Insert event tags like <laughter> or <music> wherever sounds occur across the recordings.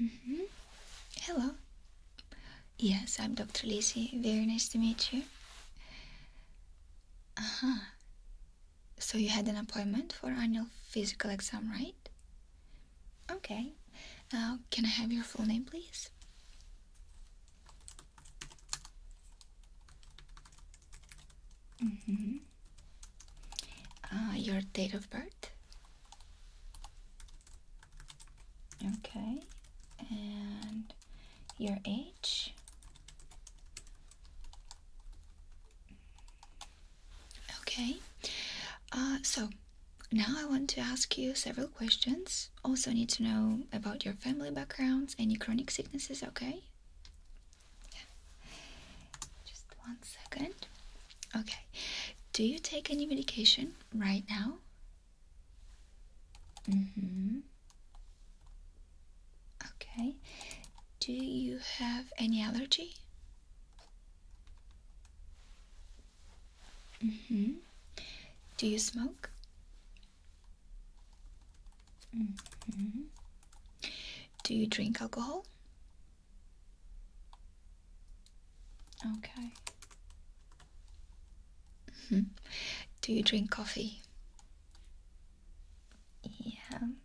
Mm -hmm. Hello. Yes, I'm Dr. Lizzie. Very nice to meet you. Uh huh. So you had an appointment for annual physical exam, right? Okay. Uh, can I have your full name, please? Mm -hmm. your date of birth? Okay. And your age? Okay, uh, so now I want to ask you several questions. Also, need to know about your family backgrounds, any chronic sicknesses, okay? Yeah. Just one second. Okay, do you take any medication right now? Mm hmm. Okay, do you have any allergy? Mm -hmm. Do you smoke? Mm -hmm. Do you drink alcohol? Okay. Mm -hmm. Do you drink coffee? Yeah.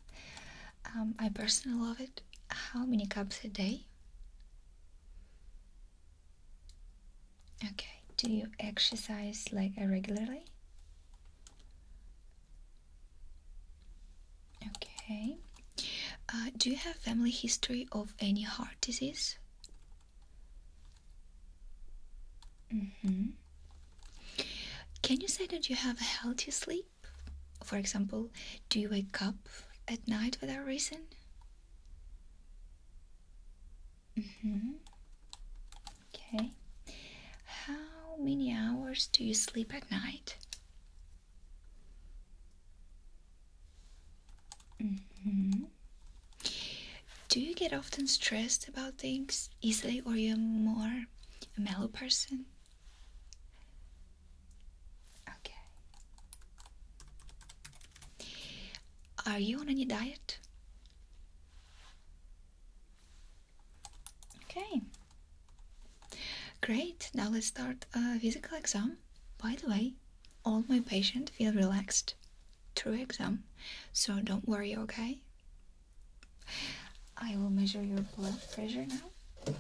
Um, I personally love it. How many cups a day? Okay, do you exercise like uh, regularly? Okay. Uh, do you have family history of any heart disease? Mm-hmm. Can you say that you have a healthy sleep? For example, do you wake up at night without reason? Mm -hmm. Okay. How many hours do you sleep at night? Mm -hmm. Do you get often stressed about things easily, or you're more a mellow person? Okay. Are you on any diet? Okay. Great. Now let's start a physical exam. By the way, all my patients feel relaxed through exam, so don't worry, okay? I will measure your blood pressure now.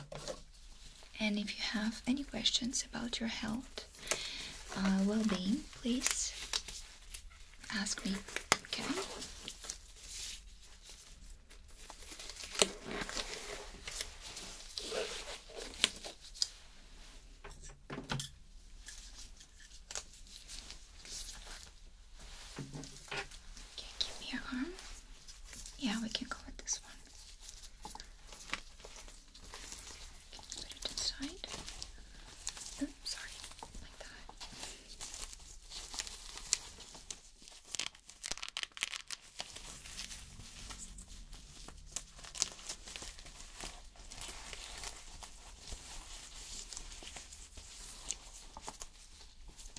And if you have any questions about your health, uh, well being, please ask me, okay? Okay, give me your arm. Yeah, we can go with this one. Can you put it inside? Oh, sorry, like that.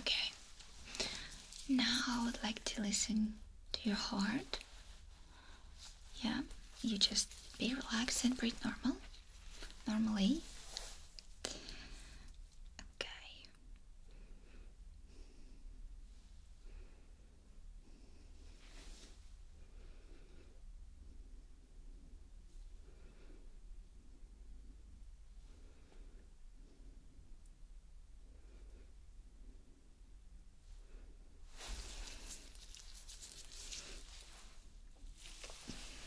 Okay. Now I would like to listen to your heart. Yeah, you just be relaxed and breathe normal. Normally. Okay.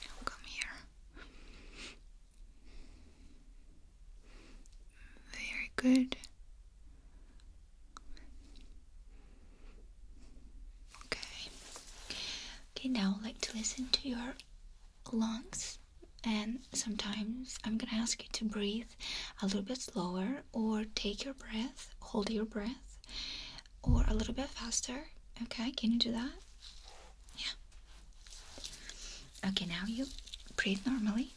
Now come here. Very good. Okay. Okay, now I'd like to listen to your lungs and sometimes I'm gonna ask you to breathe a little bit slower or take your breath, hold your breath, or a little bit faster. Okay, can you do that? Yeah. Okay, now you breathe normally.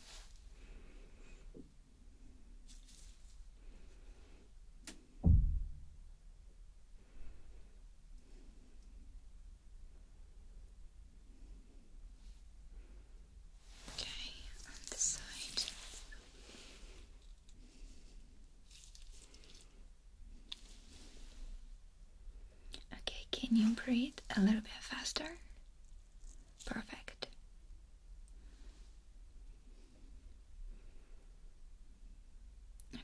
Okay, on this side. Okay, can you breathe a little bit faster? Perfect.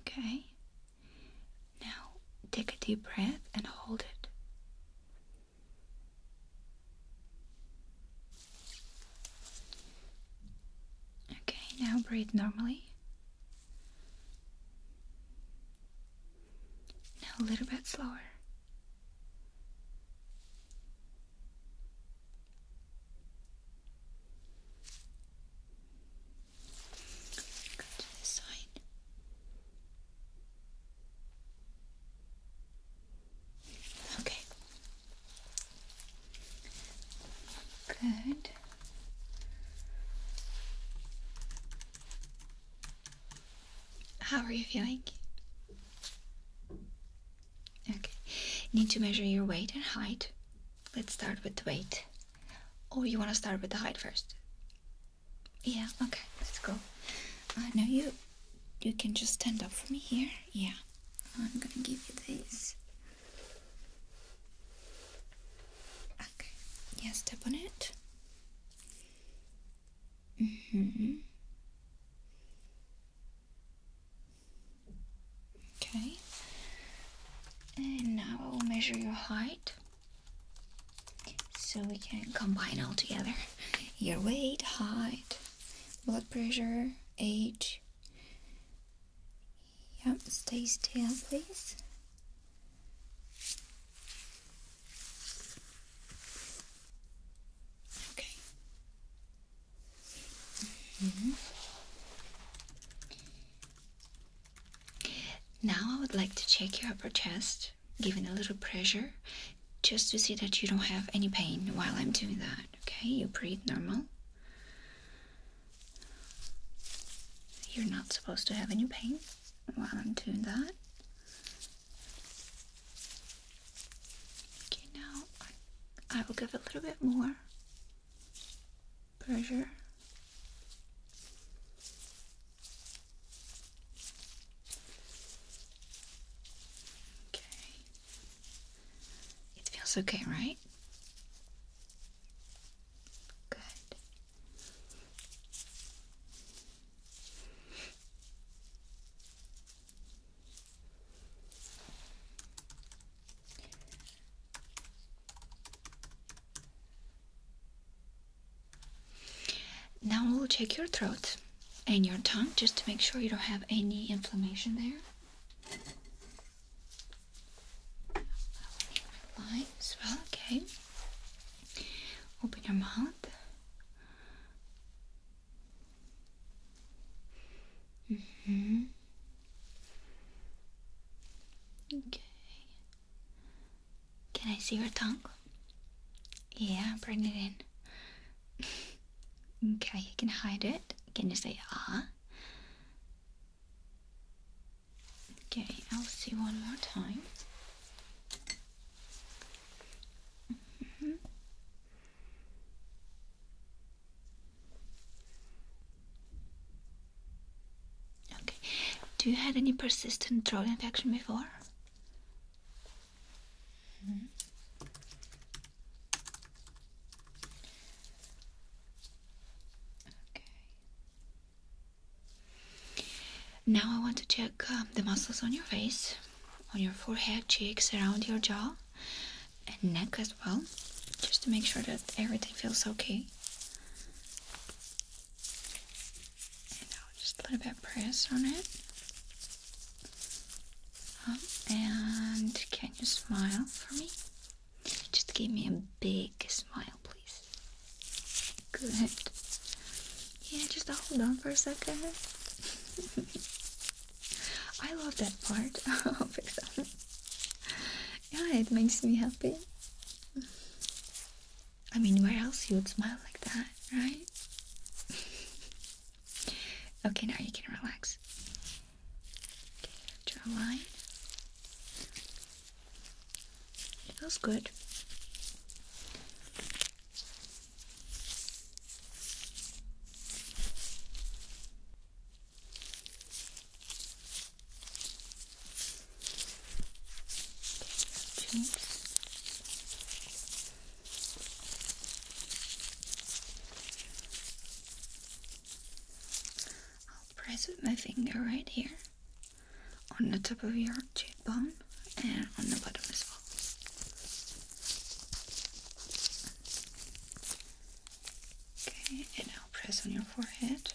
Okay. Now take a deep breath and hold it. Okay, now breathe normally. Now a little bit slower. Go to this side. Okay. Good. How are you feeling? Okay, need to measure your weight and height. Let's start with the weight. Or you want to start with the height first? Yeah, okay, let's go. Uh, now you, you can just stand up for me here. Yeah, I'm gonna give you this. Okay, yeah, step on it. Mm-hmm. Okay. now I will measure your height so we can combine all together your weight, height, blood pressure, age. Yep, stay still, please. Okay. -hmm. Now I would like to check your upper chest, giving a little pressure, just to see that you don't have any pain while I'm doing that. Okay, you breathe normal. You're not supposed to have any pain while I'm doing that. Okay, now I, will give a little bit more pressure. Okay. It feels okay, right? Good. Now we'll check your throat and your tongue just to make sure you don't have any inflammation there. Line as well, okay. Open your mouth. Mm-hmm. Okay. Can I see your tongue? Yeah, bring it in. <laughs> okay, you can hide it. Can you say ah? Okay, I'll see one more time. Mm-hmm. Okay, do you had any persistent throat infection before? Mm-hmm. Okay. Now I want to check um, the muscles on your face, on your forehead, cheeks, around your jaw, and neck as well, just to make sure that everything feels okay. And just a little bit of press on it. Um, and can you smile for me? Just give me a big smile, please. Good. Yeah, just hold on for a second. <laughs> I love that part <laughs> of exam. Yeah, it makes me happy. I mean, where else you would smile like that, right? <laughs> okay, now you can relax. draw a line. It Feels good. I'll press with my finger right here on the top of your cheekbone and on the bottom as well. Okay, and now press on your forehead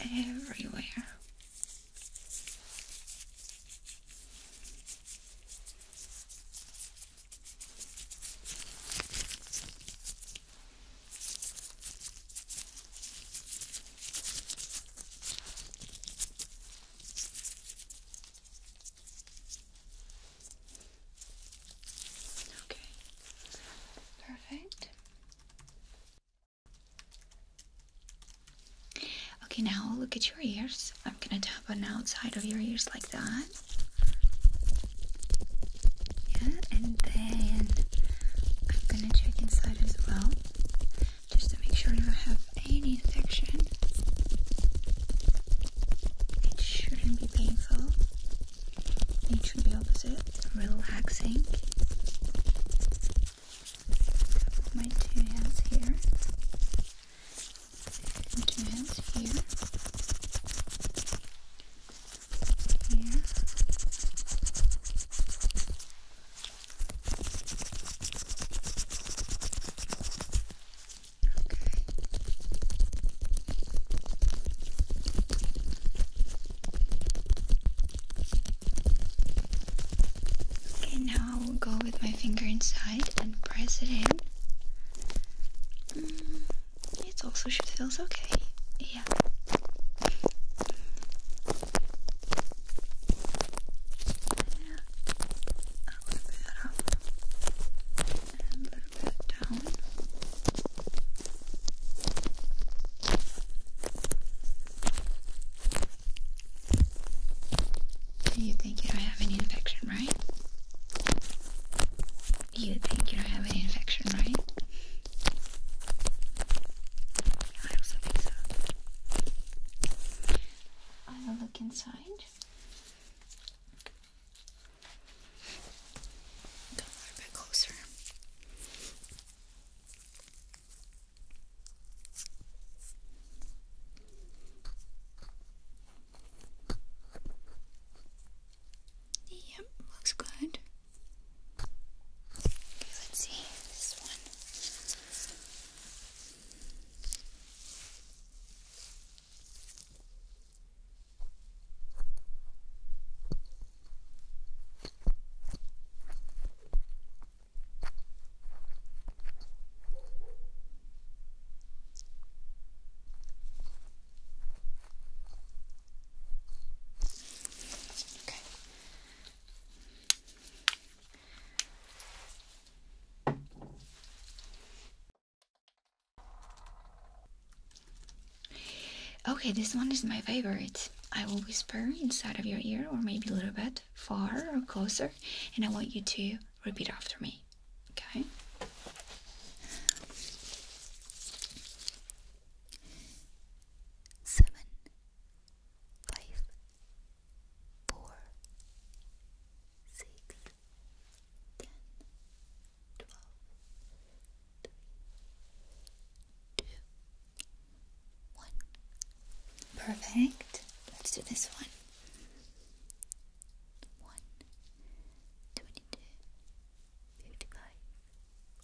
everywhere. Okay. Perfect. Okay, now look at your ears. I'm gonna tap on the outside of your ears like that. Yeah, and then I'm gonna check inside as well, just to make sure you don't have any infection. It shouldn't be painful. It should be opposite, relaxing. My two hands here. two hands here. Okay. Okay, now I will go with my finger inside and press it in. It also should feel okay. Yeah. yeah. A little bit up and a little bit down. You think you don't have any infection, right? You think you don't have any infection, right? I also think so. I will look inside. Go a bit closer. Yep, looks good. Let's see this one. Okay. Okay, this one is my favorite. I will whisper inside of your ear, or maybe a little bit far or closer, and I want you to repeat after me. Okay? seven, five, four, six, ten, twelve, three, two, one. Perfect. Let's do this one. One, twenty-two, fifty-five,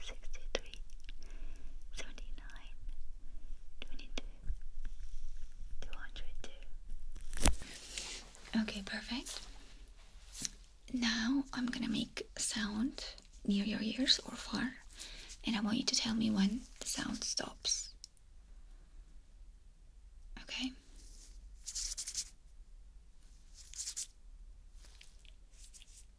63, 202. Okay, perfect. Now I'm gonna make sound near your ears or far, and I want you to tell me when the sound stops. Okay.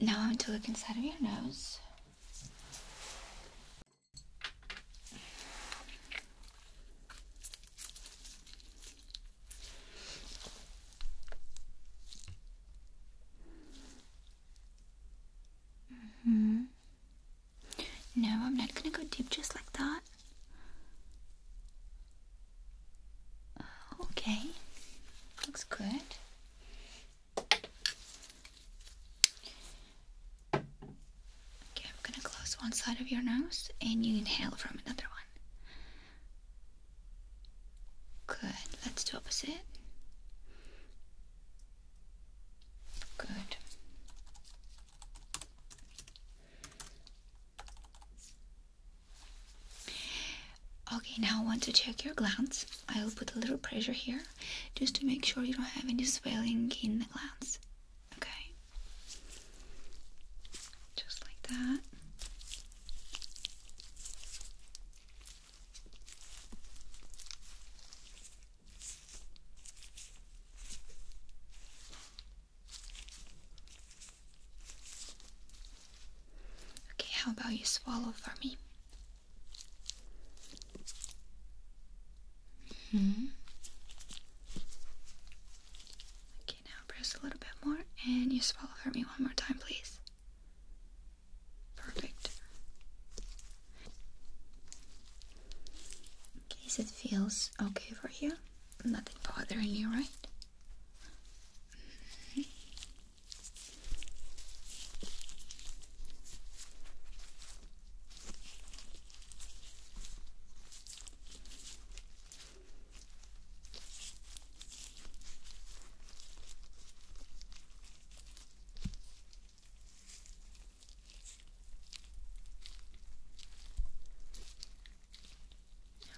Now I'm to look inside of your nose. -hmm. No, I'm not gonna go deep just like that. Okay, looks good. Okay, I'm gonna close one side of your nose and you inhale from another one. Good, let's do opposite. Good. Okay, now I want to check your glands. I will put a little pressure here just to make sure you don't have any swelling in the glands. Okay. Just like that. Okay, how about you swallow for me? hmm. Okay, now press a little bit more and you swallow for me one more time, please. Perfect. In case it feels okay for you, nothing bothering you, right? Mm-hmm.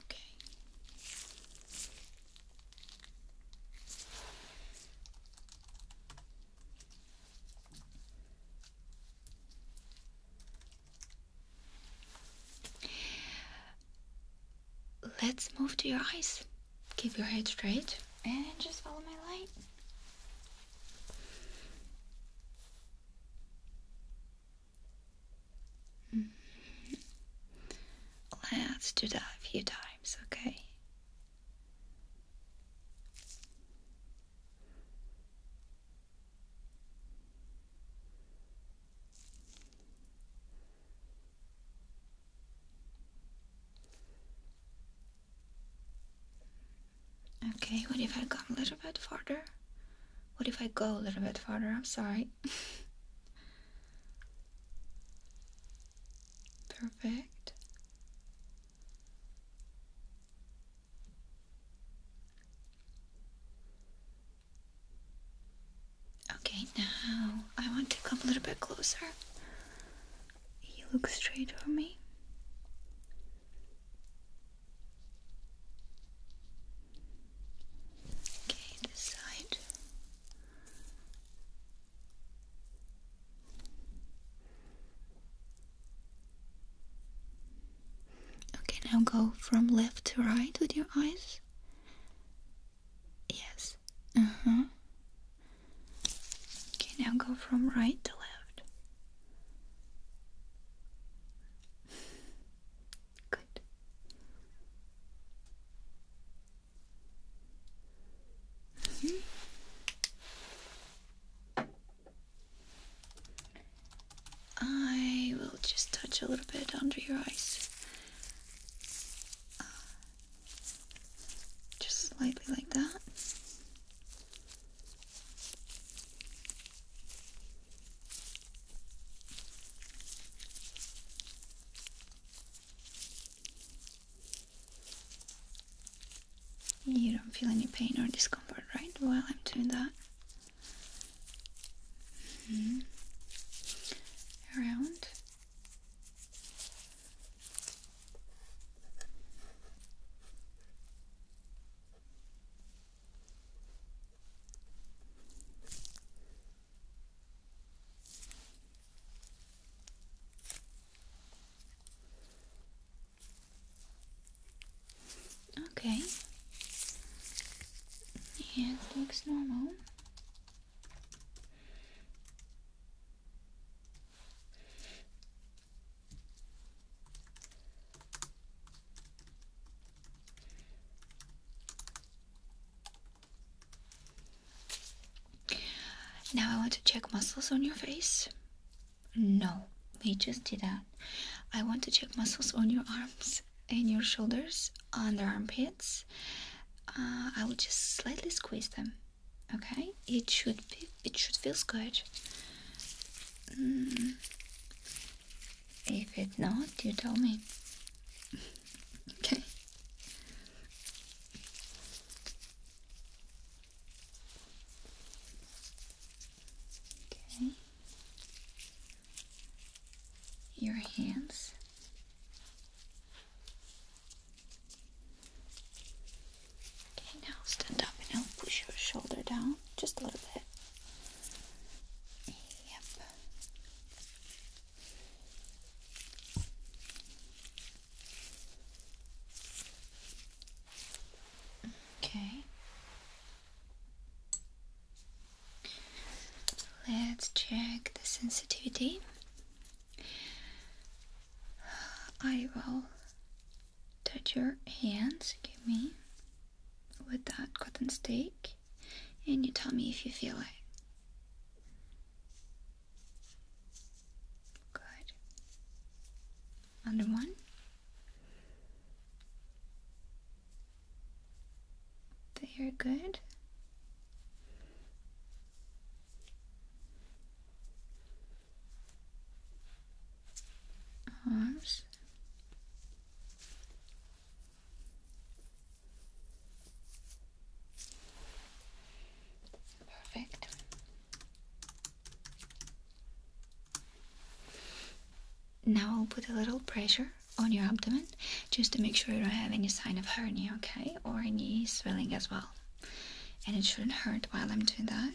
Okay. Let's move to your eyes. Keep your head straight and just follow my light. Mm -hmm. Let's do that a few times, okay? Okay, what if I go a little bit farther? What if I go a little bit farther? I'm sorry. <laughs> Perfect. Okay, now I want to come a little bit closer. You look straight for me. Okay, this side. Okay, now go from left to right with your eyes. Yes. Uh huh. Okay, now go from right to left. Good. Mm-hmm. I will just touch a little bit under your eyes. Uh, just slightly like that. You don't feel any pain or discomfort, right? While I'm doing that. Mm-hmm. Around. Okay. it looks normal. Now I want to check muscles on your face. No, we just did that. I want to check muscles on your arms and your shoulders, under armpits. Uh, I will just slightly squeeze them. Okay, it should be it should feel good. Mm. If it not, you tell me. <laughs> okay. Okay. Your hands. Okay, now stand up and help push your shoulder down just a little bit. Yep. Okay. Let's check the sensitivity. I will touch your hands, give me with that cotton stick, and you tell me if you feel it. Good. Under one. They are good arms perfect now I'll put a little pressure on your abdomen just to make sure you don't have any sign of hernia okay or any swelling as well and it shouldn't hurt while I'm doing that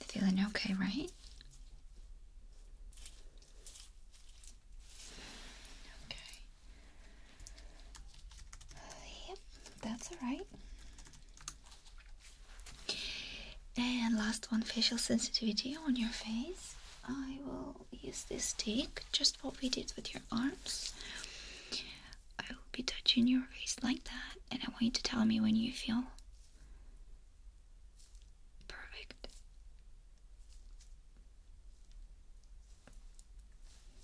Feeling okay, right? Okay. Yep, that's alright. And last one facial sensitivity on your face. I will use this stick, just what we did with your arms. I will be touching your face like that, and I want you to tell me when you feel Perfect.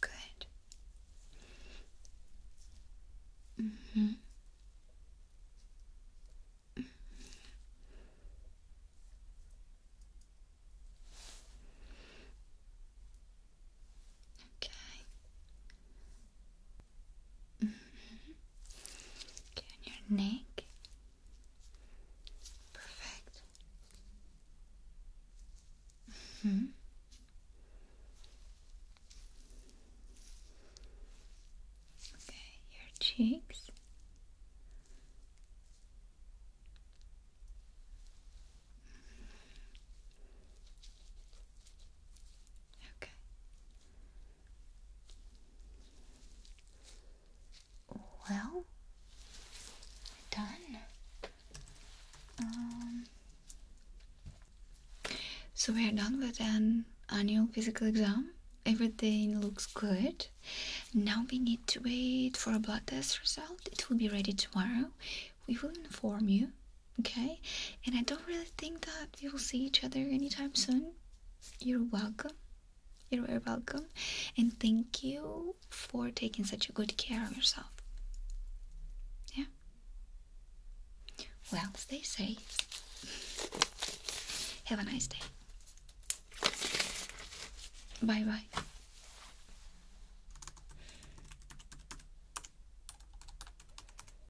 Good. Mm hmm. Okay. Mm mm-hmm. on your neck. Perfect. Mm-hmm. Okay, your cheeks. Mm-hmm. Okay. Well, done. Um, so we are done with an annual physical exam. Everything looks good. Now we need to wait for a blood test result. It will be ready tomorrow. We will inform you Okay? And I don't really think that we will see each other anytime soon. You're welcome. You're very welcome. And thank you for taking such a good care of yourself. Yeah? Well, stay safe. Have a nice day. Bye bye.